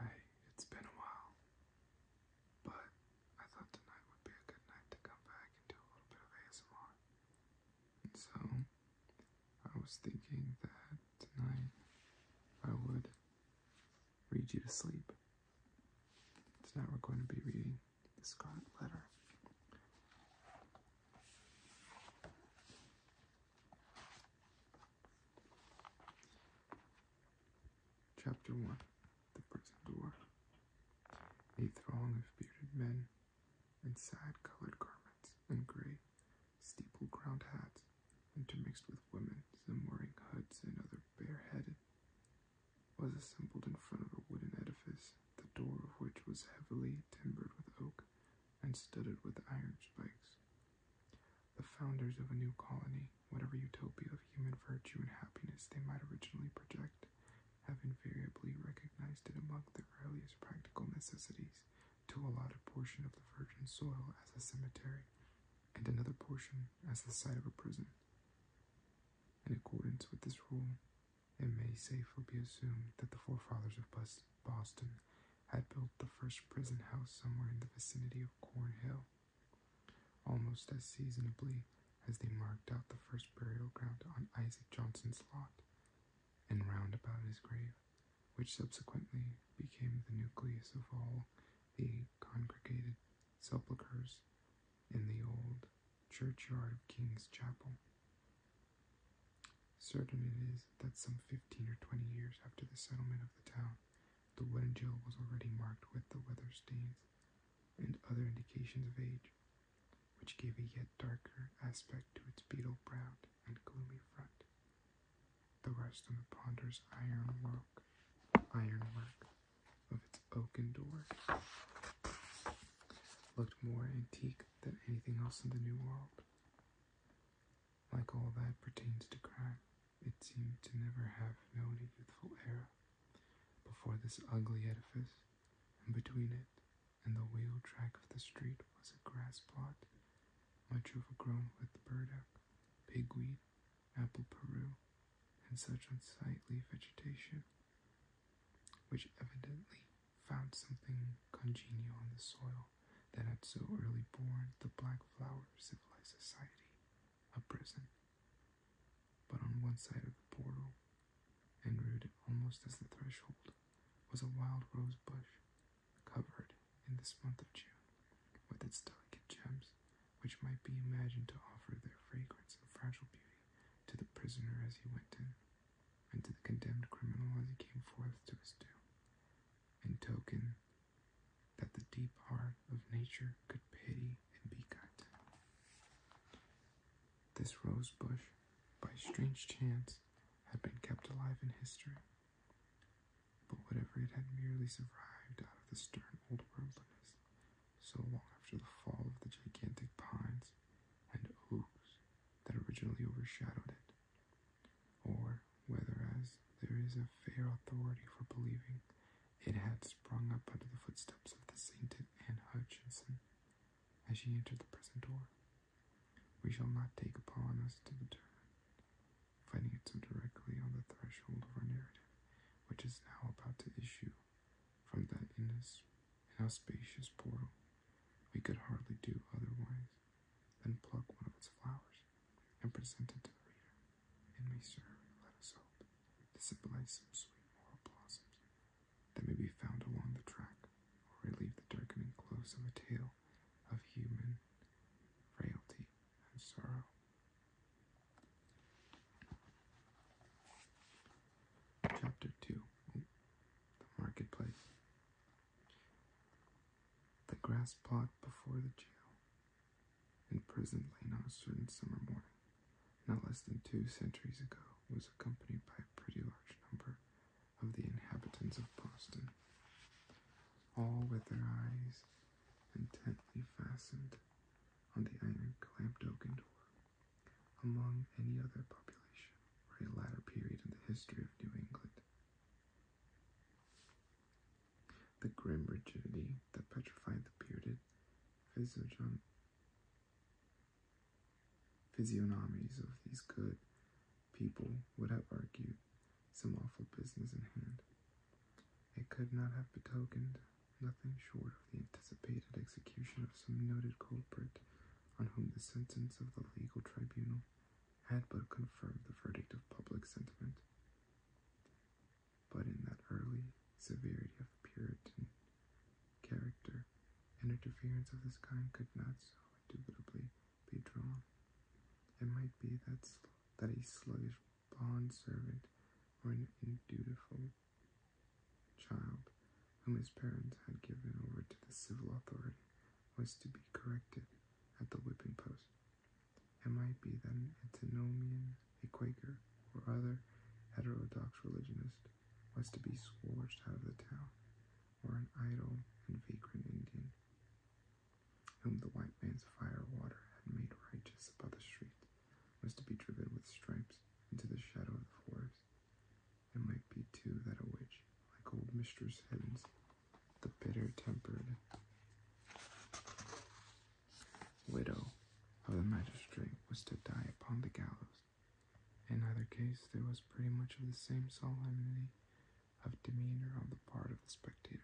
Hey, it's been a while, but I thought tonight would be a good night to come back and do a little bit of ASMR. And so, I was thinking that tonight I would read you to sleep. Tonight we're going to be reading The Scarlet Letter. Chapter 1 The Prison Door A throng of bearded men in sad colored garments and gray steeple crowned hats, intermixed with women, some wearing hoods and other bareheaded, was assembled in front of a wooden edifice, the door of which was heavily timbered with oak and studded with iron spikes. The founders of a new colony, whatever utopia of human virtue and happiness they might originally project, have invariably recognized it among their earliest practical necessities to allot a portion of the virgin soil as a cemetery, and another portion as the site of a prison. In accordance with this rule, it may safely be assumed that the forefathers of Boston Boston, had built the first prison house somewhere in the vicinity of Cornhill. Almost as seasonably as they marked out the first burial ground on Isaac Johnson's lot and round about his grave, which subsequently became the nucleus of all the congregated sepulchres in the old churchyard of King's Chapel. Certain it is that some fifteen or twenty years after the settlement of the town, the wooden jail was already marked with the weather stains and other indications of age, which gave a yet darker aspect to its beetle browed and gloomy front. The rust on the ponderous ironwork, ironwork of its oaken door looked more antique than anything else in the New World. Like all that pertains to crime, it seemed to never have known a youthful era. Before this ugly edifice, and between it and the wheel track of the street was a grass plot, much overgrown with burdock, pigweed, apple peru, and such unsightly vegetation, which evidently found something congenial on the soil that had so early borne the black flower of civilized society, a prison. But on one side of the portal, and rooted almost as the threshold, was a wild rose bush, covered in this month of June with its delicate gems, which might be imagined to offer their fragrance and fragile beauty to the prisoner as he went in and to the condemned criminal as he came forth to his doom, in token that the deep heart of nature could pity and be kind. This rose bush, by strange chance, had been kept alive in history, but whatever it had merely survived out of the stern old worldliness, so long after the fall of the gigantic pines and oaks that originally overshadowed it or whether as there is a fair authority for believing it had sprung up under the footsteps of the sainted Anne Hutchinson as she entered the prison door. We shall not take upon us to determine, finding it so directly on the threshold of our narrative, which is now about to issue from that inauspicious portal we could hardly do otherwise than pluck one of its flowers and present it to the reader. And may serve, let us hope, to symbolize some sweet moral blossoms that may be found along the track or relieve the darkening close of a tale of human frailty and sorrow. Chapter 2 The Marketplace. The grass plot before the jail in prison lane on a certain summer morning, not less than two centuries ago, was accompanied by a pretty large number of the inhabitants of Boston, all with their eyes intently fastened on the iron clamped oaken door. Among any other population, or a latter period in the history of New England. The grim rigidity that petrified the bearded physiognomies of these good people would have argued some awful business in hand. It could not have betokened nothing short of the anticipated execution of some noted culprit on whom the sentence of the legal tribunal had but confirmed the verdict of public sentiment. But in that early severity of Puritan character, an interference of this kind could not so indubitably be drawn. It might be that, that a sluggish bond servant or an indutiful child whom his parents had given over to the civil authority, was to be corrected at the whipping post. It might be that an antinomian, a Quaker, or other heterodox religionist was to be scourged out of the town, or an idle and vagrant Indian, whom the white man's fire water had made righteous above the street, was to be driven with stripes into the shadow of the forest, it might be two that a witch, like old Mistress Hibbins, the bitter tempered widow of the magistrate, was to die upon the gallows. In either case, there was pretty much of the same solemnity of demeanor on the part of the spectators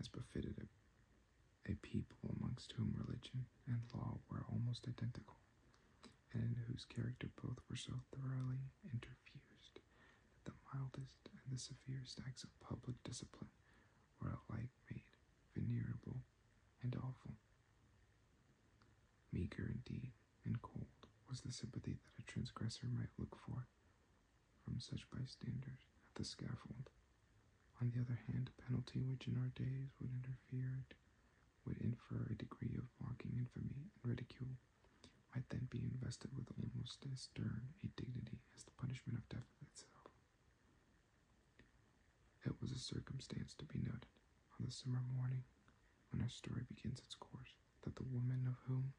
as befitted a people amongst whom religion and law were almost identical, and whose character both were so thoroughly interfused that the mildest and the severest acts of public discipline were alike made venerable and awful. Meager indeed and cold was the sympathy that a transgressor might look for from such bystanders at the scaffold. On the other hand, a penalty which in our days would interfere would infer a degree of mocking infamy and ridicule, might then be invested with almost as stern a dignity as the punishment of death itself. It was a circumstance to be noted, on the summer morning when our story begins its course, that the women of whom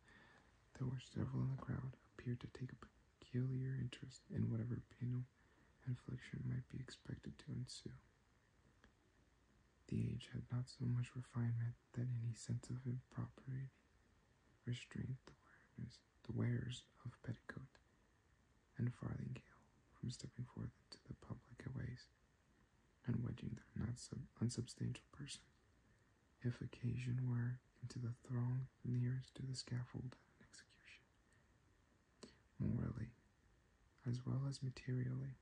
there were several in the crowd appeared to take a peculiar interest in whatever penal infliction might be expected to ensue. The age had not so much refinement that any sense of impropriety restrained the wearers, of petticoat and farthingale from stepping forth into the public ways and wedging their not so unsubstantial person, if occasion were, into the throng nearest to the scaffold at execution. Morally, as well as materially,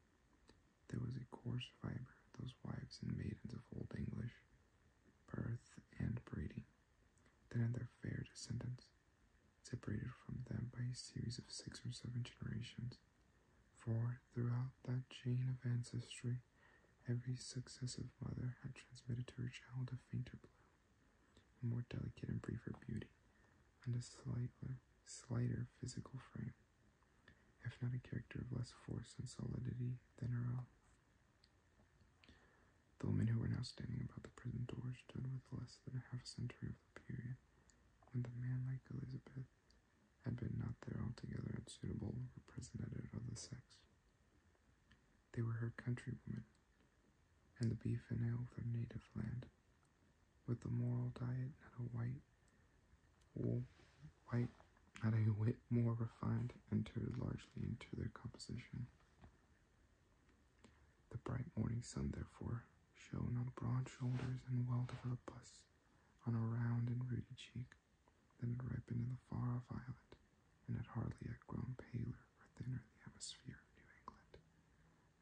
there was a coarse fibre of those wives and maidens of Old English, birth and breeding, that had their fair descendants, separated from them by a series of six or seven generations. For throughout that chain of ancestry, every successive mother had transmitted to her child a fainter bloom, a more delicate and briefer beauty, and a slighter slighter physical frame, if not a character of less force and solidity than her own. The women who were now standing about the prison door stood with less than a half a century of the period when the man like Elizabeth had been not there altogether unsuitable representative of the sex. They were her countrywomen, and the beef and ale of their native land with a moral diet, not a white, wool, white, not a whit more refined, entered largely into their composition. The bright morning sun, therefore, shone on broad shoulders and well-developed busts, on a round and ruddy cheek that had ripened in the far-off island, and had hardly yet grown paler or thinner in the atmosphere of New England.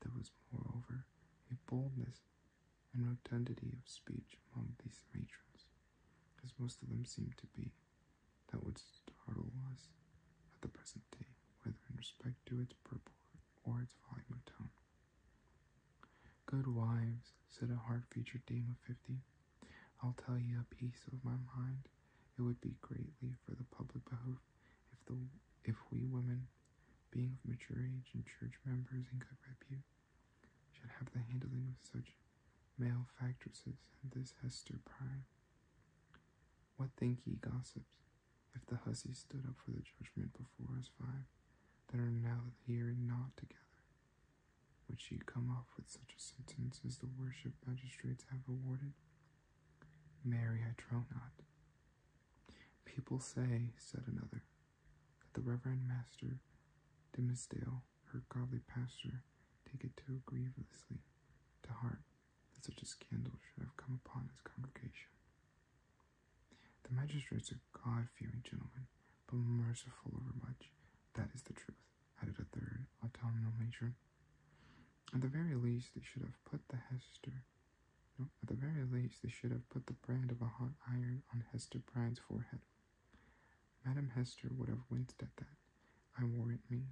There was, moreover, a boldness and rotundity of speech among these matrons, as most of them seemed to be, that would startle us at the present day, whether in respect to its purport or its volume of tone. Good wives, said a hard featured dame of fifty, I'll tell ye a piece of my mind. It would be greatly for the public behoof if the if we women, being of mature age and church members and good repute, should have the handling of such malefactresses factresses and this Hester Prime. What think ye, gossips, if the hussies stood up for the judgment before us five that are now here and not together? Would she come off with such a sentence as the worship magistrates have awarded Mary, I trow not. People say, said another, that the Reverend Master Dimmesdale, her godly pastor, take it too grievously to heart that such a scandal should have come upon his congregation. The magistrates are God-fearing gentlemen, but merciful overmuch. That is the truth, added a third a town matron. At the very least, they should have put the Hester. at the very least, they should have put the brand of a hot iron on Hester Pride's forehead. Madame Hester would have winced at that, I warrant me.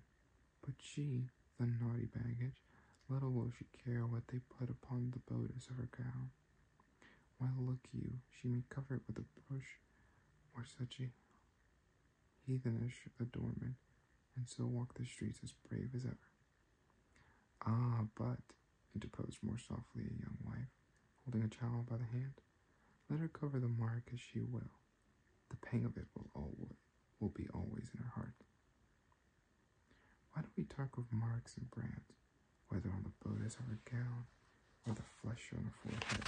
But she, the naughty baggage, little will she care what they put upon the bodice of her gown. Why, look you, she may cover it with a bush, or such a heathenish adornment, and so walk the streets as brave as ever. Ah, but, interposed more softly a young wife, holding a child by the hand, let her cover the mark as she will. The pang of it will always will be always in her heart. Why do we talk of marks and brands, whether on the bodice of her gown or the flesh on the forehead?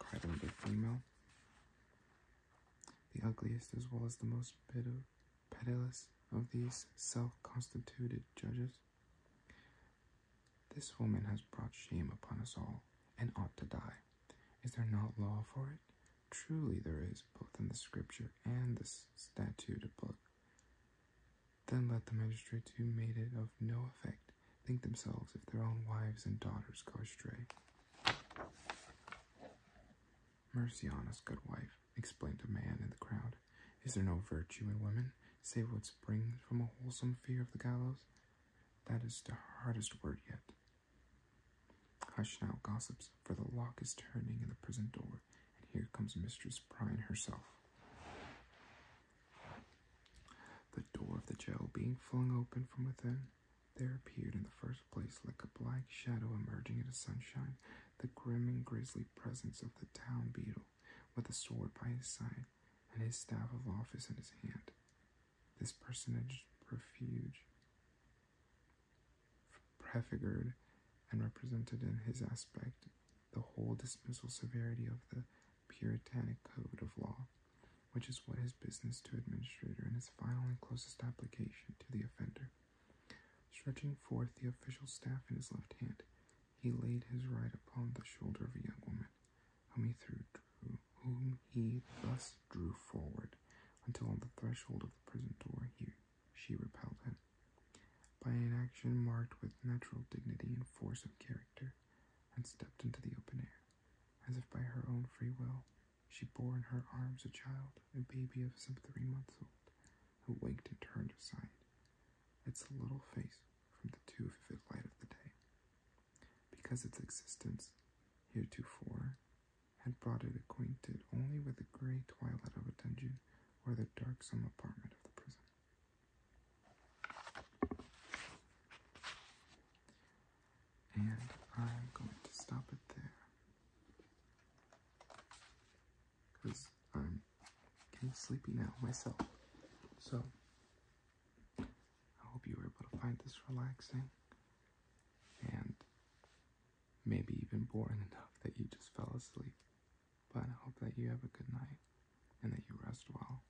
cried another female. The ugliest as well as the most pitiless of these self-constituted judges. This woman has brought shame upon us all, and ought to die. Is there not law for it? Truly there is, both in the scripture and the statute book. Then let the magistrates who made it of no effect think themselves if their own wives and daughters go astray. Mercy Merciana's good wife, explained a man in the crowd. Is there no virtue in women, save what springs from a wholesome fear of the gallows? That is the hardest word yet. Hush now, gossips, for the lock is turning in the prison door, and here comes Mistress Prine herself. The door of the jail being flung open from within, there appeared in the first place, like a black shadow emerging into sunshine, the grim and grisly presence of the town beadle, with a sword by his side and his staff of office in his hand. This personage refuge prefigured and represented in his aspect the whole dismissal severity of the puritanic code of law which is what his business to administrator in his final and closest application to the offender. Stretching forth the official staff in his left hand, he laid his right upon the shoulder of a young woman, whom he, whom he thus drew forward, until on the threshold of the prison door he, she repelled him. By an action marked with natural dignity and force of character, and stepped into the open air. As if by her own free will, she bore in her arms a child, a baby of some three months old, who waked and turned aside its little face from the too vivid light of the day, because its existence, heretofore, had brought it acquainted only with the gray twilight of a dungeon or the darksome apartment of the prison and I'm going to stop it there because I'm getting sleepy now myself. So I hope you were able to find this relaxing and maybe even boring enough that you just fell asleep. But I hope that you have a good night and that you rest well.